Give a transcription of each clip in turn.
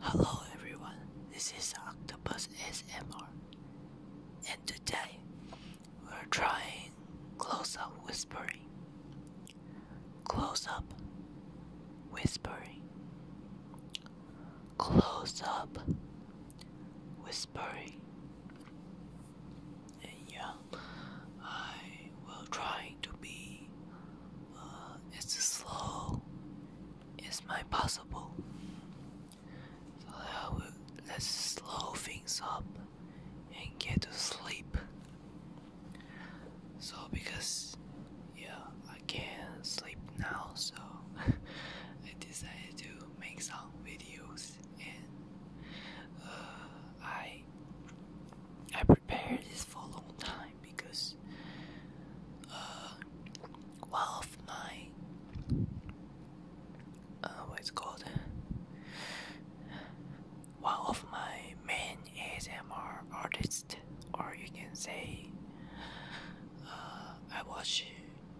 Hello everyone, this is Octopus SMR, and today we're trying close-up whispering. Close-up whispering. Close-up whispering yeah, I will try to be uh, as slow as my possible. So I will let slow things up and get to sleep. So because yeah, I can't sleep now, so I decided to make some videos and uh, I I prepared this for a long time because uh, one of my uh, what is called one of my main ASMR artists, or you can say uh, I watch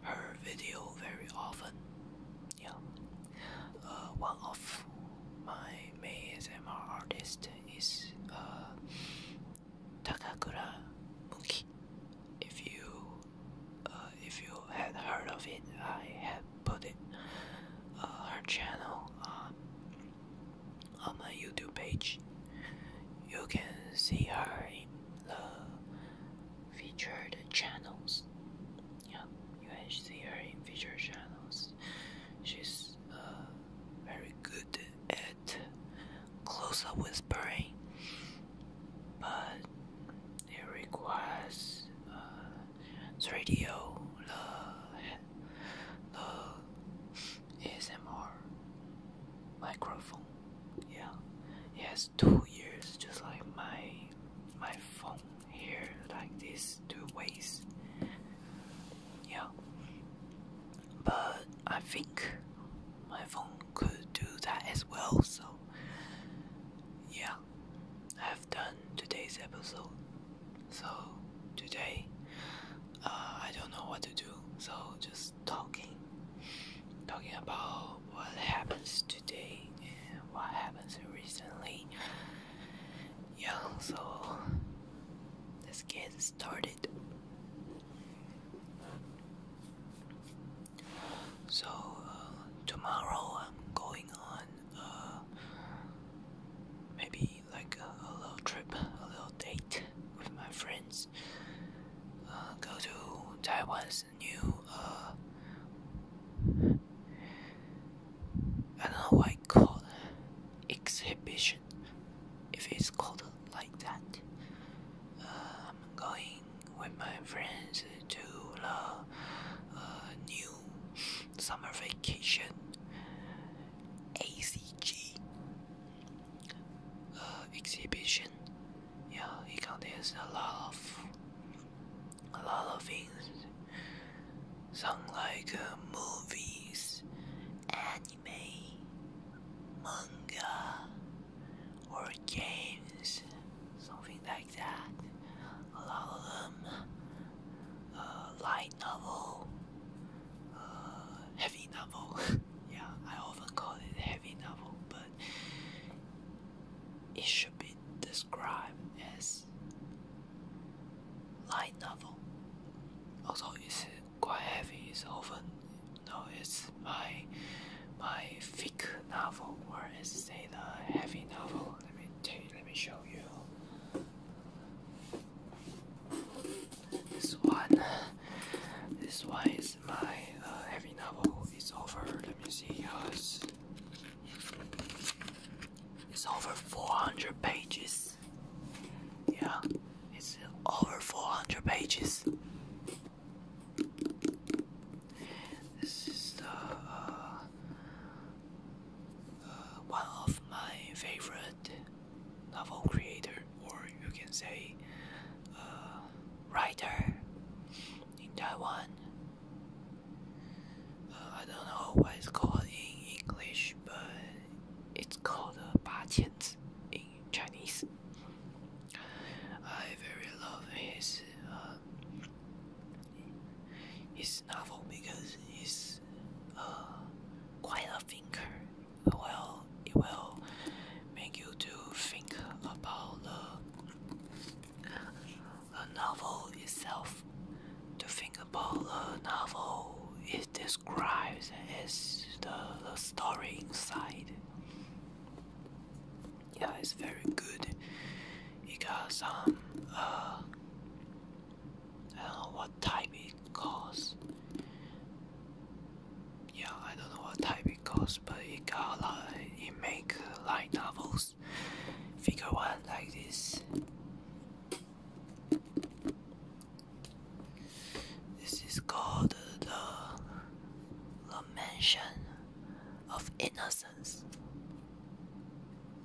her video very often. Yeah, uh, one of my main ASMR artists is uh, Takakura Muki. If you uh, if you had heard of it, I had put it uh, her channel on my YouTube page. You can see her in the featured channels yeah, you can see her in visual channels. She's uh, very good at close-up whispering, but it requires uh, radio, the, the ASMR microphone. Yeah, it has two ears, just like my my phone here like these two ways yeah but I think my phone could do that as well so yeah I've done today's episode so today uh, I don't know what to do so just talking talking about what happens today and what happens recently yeah, so let's get started. So, uh, tomorrow I'm going on uh, maybe like a, little trip, a little date with my friends. Uh, go to Taiwan's new, I don't know what it's called, exhibition, if it's called like that. Um, I'm going with my friends to the uh, new summer vacation ACG uh, exhibition. Yeah, it contains a lot of a lot of things Sound like movies, anime, manga, or games, something like that. A lot of them, uh, light novel, uh, heavy novel. yeah, I often call it heavy novel, but it should be described as Light novel. Although it's quite heavy, it's often no, it's my my thick novel, or as say the heavy novel. Let me take, let me show you. This one, this one is my uh, heavy novel. It's over. Let me see yours. It's over 400 pages. Yeah, it's over 400 pages. This is the uh, uh, one of my favorite novel creator, or you can say uh, writer in Taiwan. Uh, I don't know what it's called in English, but it's called uh, 八千字 in Chinese. I very love his uh, his novel because it's uh, quite a thinker. Well, it will make you to think about the, the novel itself, to think Polar novel, it describes as the, story inside. Yeah, it's very good. because um, some, uh, I don't know what type it calls. Yeah, I don't know what type it calls, but it got a lot. It make light novels, figure one like this. This is called the Mansion of innocence.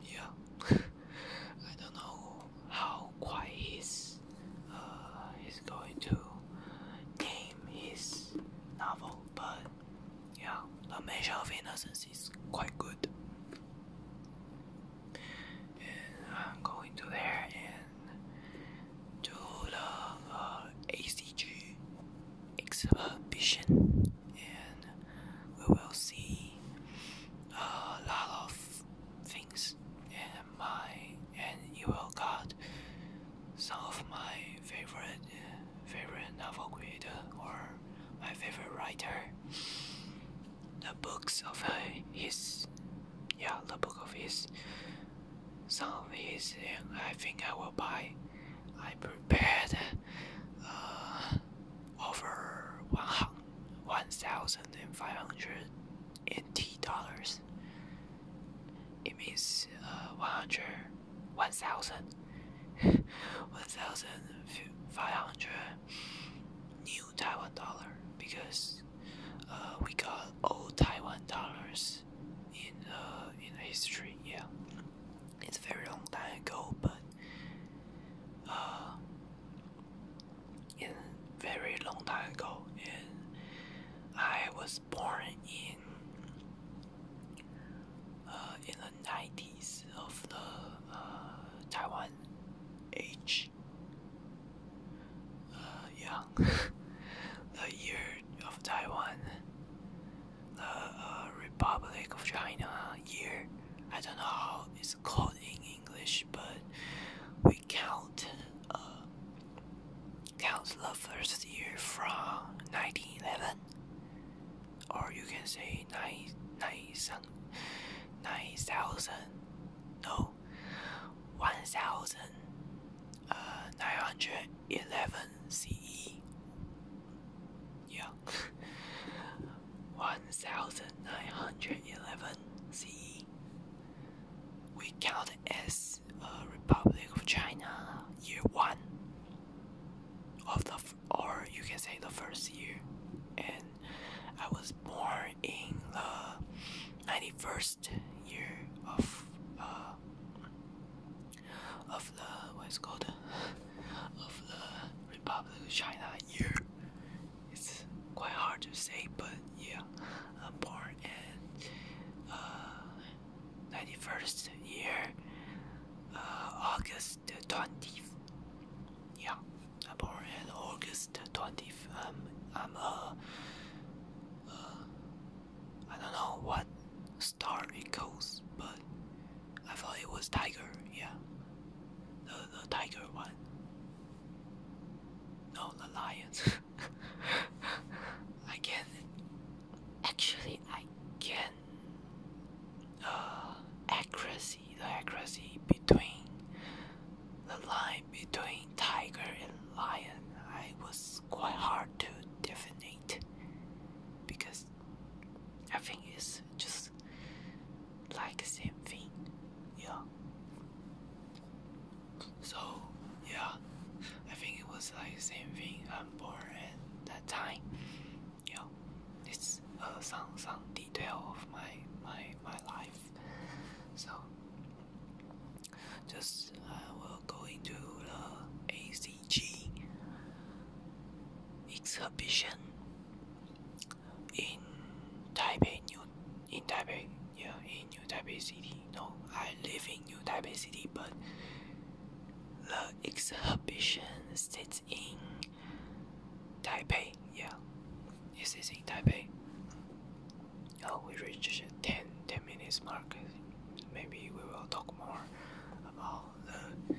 Yeah, I don't know how quiet he's, uh, he's going to name his novel, but yeah, lamentation of innocence is quite good and I'm going to there and do the uh, ACG exhibition and we will see uh, a lot of things and my and you will get some of my favorite favorite novel creator or my favorite writer the books of his yeah the book of his some of his and I think I will buy I prepared uh, over 1500 NT dollars it means uh, 100 1000 1500 new Taiwan dollar because uh, we got old Taiwan dollars in uh, in history. Yeah, it's very long time ago, but uh, in very long time ago, and I was born in. Uh, in the 90s of the uh, Taiwan age yeah, uh, the year of Taiwan, the uh, Republic of China year. I don't know how it's called in English, but we count uh, count the first year from 1911, or you can say nine nine nine thousand no, 1911 uh, CE. Yeah, 1911 CE. We count as a uh, Republic of China year one of the, or you can say the first year, and I was born in the 91st year of uh, of the what's called of the Republic of China year. It's quite hard to say, but yeah, I'm born in 91st uh, year, uh, August 20th. Yeah born in August 20th. I'm a, uh, I don't know what star it goes, but I thought it was tiger, yeah. The, the tiger one. No, the lion. I can, actually I can, uh, accuracy the accuracy between the line between tiger and lion, I was quite hard to definite because I think it's just like the same thing, yeah. So yeah, I think it was like same thing um, on board at that time. Yeah, it's a some some detail of my my my life. So just I uh, will go into the ACG exhibition in Taipei, New in Taipei, yeah, in New Taipei City. No, I live in New Taipei City, but the exhibition sits in Taipei, yeah. This is in Taipei. Oh, we reached 10, 10 minutes mark. Maybe we will talk more about the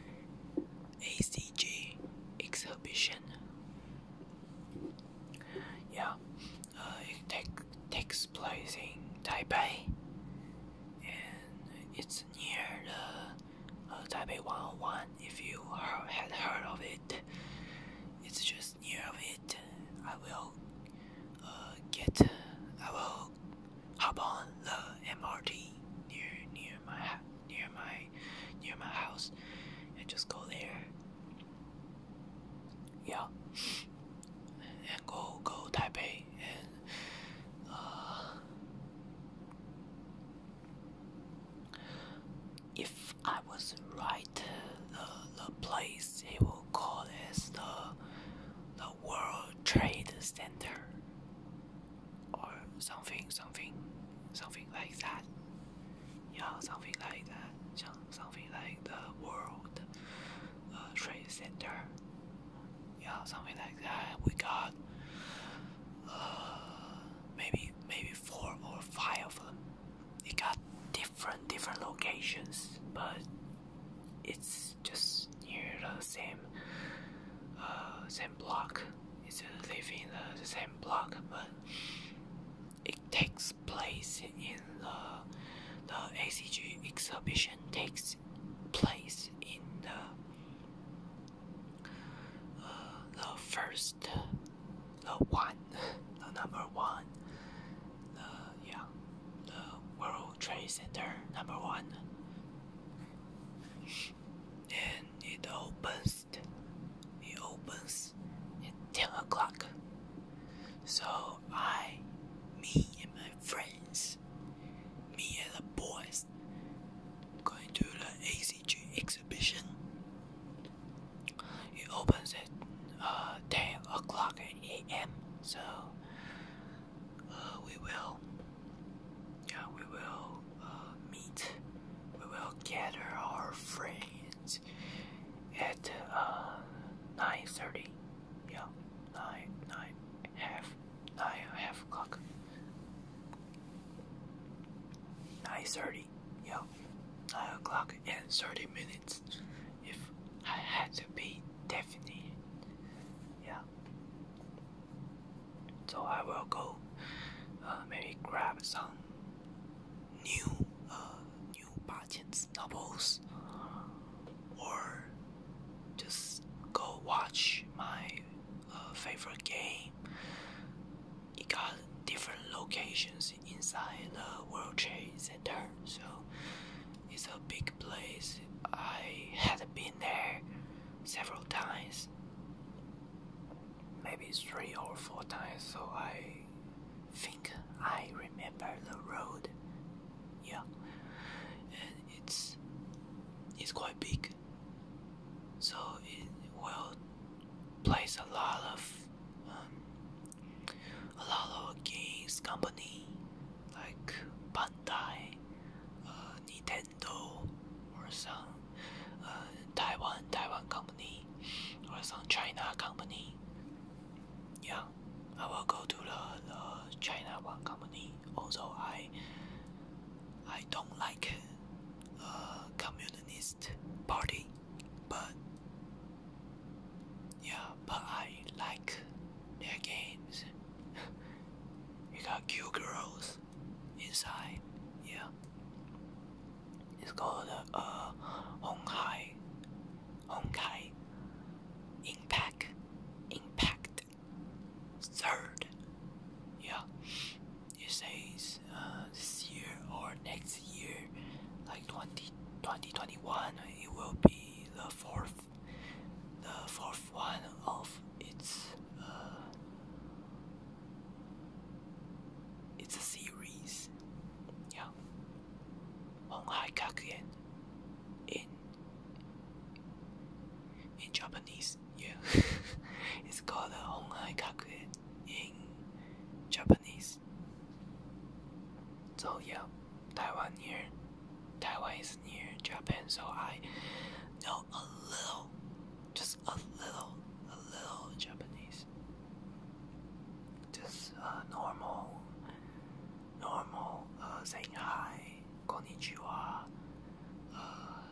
ACG exhibition. Yeah, uh, it take, takes place in Taipei and it's near the uh, Taipei 101 if you have had heard of it. It's just gets near it, I will uh, get, I will hop on the MRT near near my near my near my house and just go there. Yeah, and go go Taipei and uh, if I was right, the, the place he will call is the, the World Trade Center or something, something, something like that. Yeah, something like that. Something like the World uh, Trade Center. Yeah, something like that. We got uh, maybe maybe four or five of them it got different different locations, but it's just near the same uh, same block. It's living the, uh, the same block, but it takes place in uh, the the ACG exhibition takes place in the, uh, the first the one, the number one, the yeah, the World Trade Center number one, and it opens, it opens at ten o'clock. So I, me and my friends, me and the boys, going to the ACGX exhibition. It opens at uh, 10 o'clock a.m. So uh, we will, yeah, we will uh, meet. We will gather our friends at uh, 9:30. Yeah, nine, nine, half, nine, half o'clock. 9:30 yeah, 9 o'clock and 30 minutes if I had to be definite. Yeah. So I will go uh, maybe grab some new uh, new buttons novels or just go watch my uh, favorite game it got different locations inside the World Trade Center. So it's a big place. I had been there several times, maybe three or four times. So I think I remember the road. Yeah, and it's it's quite big. So it will place a lot of um, a lot of games company like Bandai, uh, Nintendo, or some uh, Taiwan Taiwan company, or some China company. Yeah, I will go to the, the China one company. Although I I don't like uh, communist party. But yeah, but I like their games. you got cute girls inside. Yeah, it's called a Hong uh Hong Honkai Impact, Impact Third. Yeah, it says uh, this year or next year, like 20, 2021, it will be the fourth, the fourth one of its uh, it's a series. Yeah, Honghai Kakuen in in Japanese, yeah, it's called Honghai uh, Kakuen in Japanese. Japanese. So yeah, Taiwan near. Taiwan is near Japan, so I know a little, just a little, a little Japanese. Just uh, normal, normal uh, saying hi, konnichiwa, uh,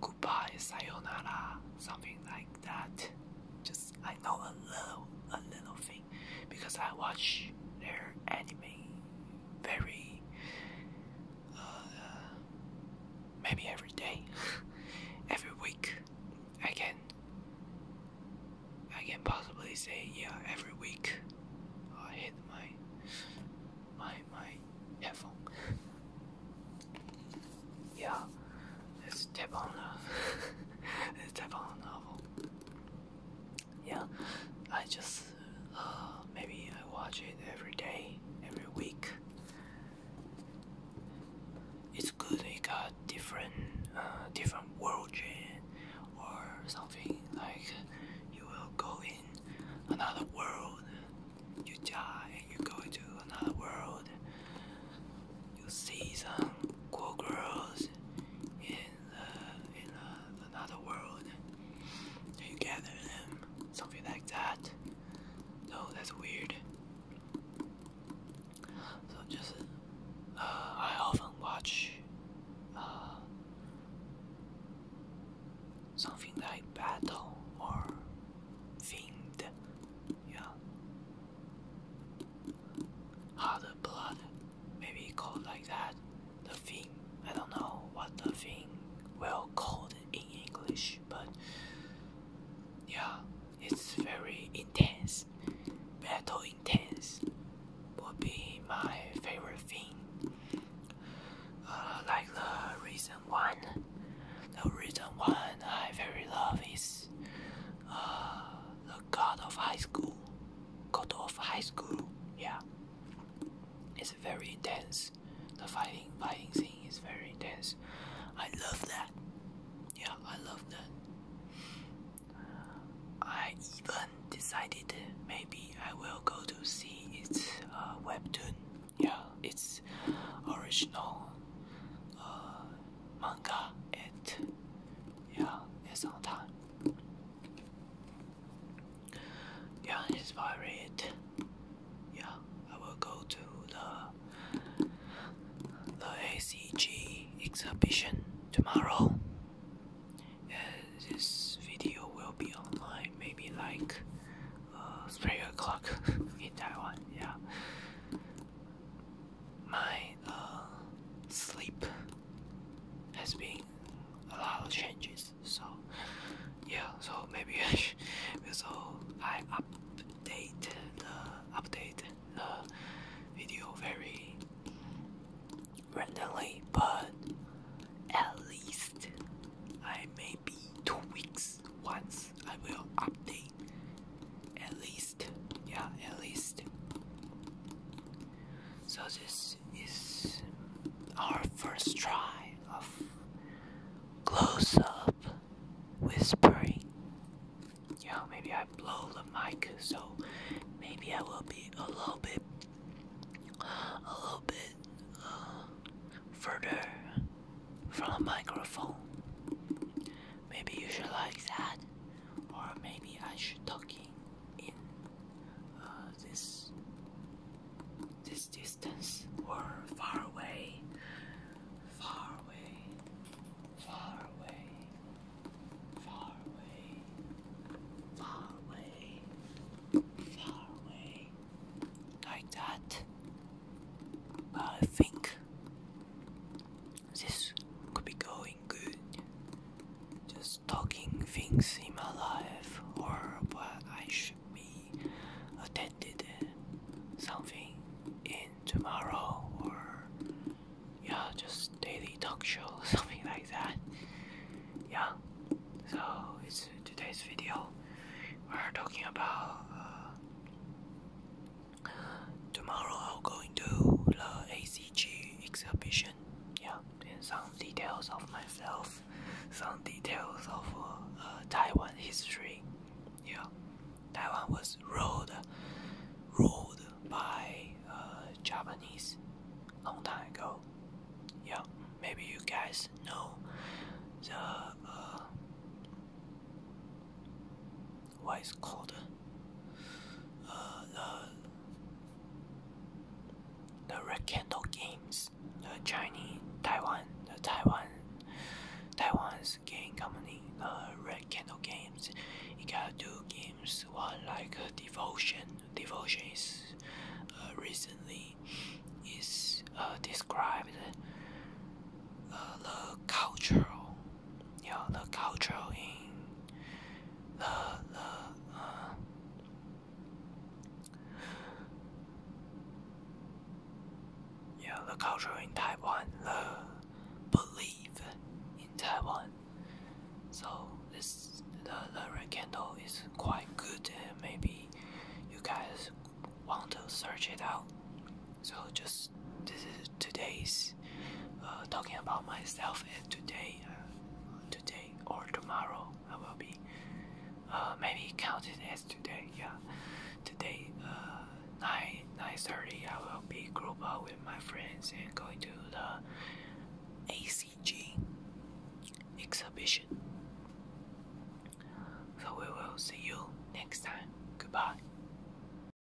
goodbye, sayonara, something like that. Just I know a little a little thing because I watch their anime very uh, maybe every day every week I can I can possibly say yeah every week I hit my my my headphone yeah, it's Tebon it's Tebon novel. Yeah, I just uh, maybe I watch it every day, every week. It's good. It got different, uh, different world gen or something like you will go in another world. You die, you go into another world you see some cool girls in the, in another world, you gather them, something like that. No, that's weird. So just, uh, I often watch, uh, something like battle or fiend, yeah, how the blood, maybe called like that, the thing. I don't know what the thing will called in English, but yeah, it's very intense. battle intense would be my favorite thing. Uh, like the reason one, the reason one one I very love is uh, the God of High School. God of High School, yeah. It's very intense. The fighting, fighting scene is very intense. I love that. Yeah, I love that. I even decided maybe I will go to see its uh, webtoon. Yeah, its original uh, manga it yeah it's all time yeah it's very read yeah I will go to the the ACG exhibition tomorrow Yeah, this video will be online maybe like uh, 3 o'clock in Taiwan yeah my uh, sleep has been a lot of changes. So yeah, so maybe so I update the update the video very randomly, but at least I maybe two weeks once I will update at least. Yeah, at least. So this is our first try of close up whispering. Yeah, maybe I blow the mic, so maybe I will be a little bit, a little bit uh, further from the microphone. Maybe you should like that or maybe I should talk in uh, this this distance or far away, far away, far away, far away, far away, like that. I think this could be going good. Just talking things in my life or what I should be attended something in tomorrow or yeah, just daily talk show, something like that. Yeah, so it's today's video. We're talking about uh, Tomorrow I'll going to the ACG exhibition. Yeah, and some details of myself, some details of uh, uh, Taiwan history. Yeah, Taiwan was ruled, ruled by uh, Japanese long time ago. Yeah, maybe you guys know the what is called uh, uh, the the Red Candle Games, the Chinese Taiwan, the Taiwan Taiwan's game company, the uh, Red Candle Games. It got two games. One like Devotion. Devotion is recently is described the cultural Yo, look outro in the the Yeah, uh. the culture in Taiwan, the belief in Taiwan. So this the the red candle is quite good and maybe you guys want to search it out. So just this is today's uh, talking about myself and today, uh, today or tomorrow I will be uh, maybe counted as today. Yeah, today nine nine thirty I will be group up with my friends and going to the ACG exhibition. So we will see you next time. Goodbye.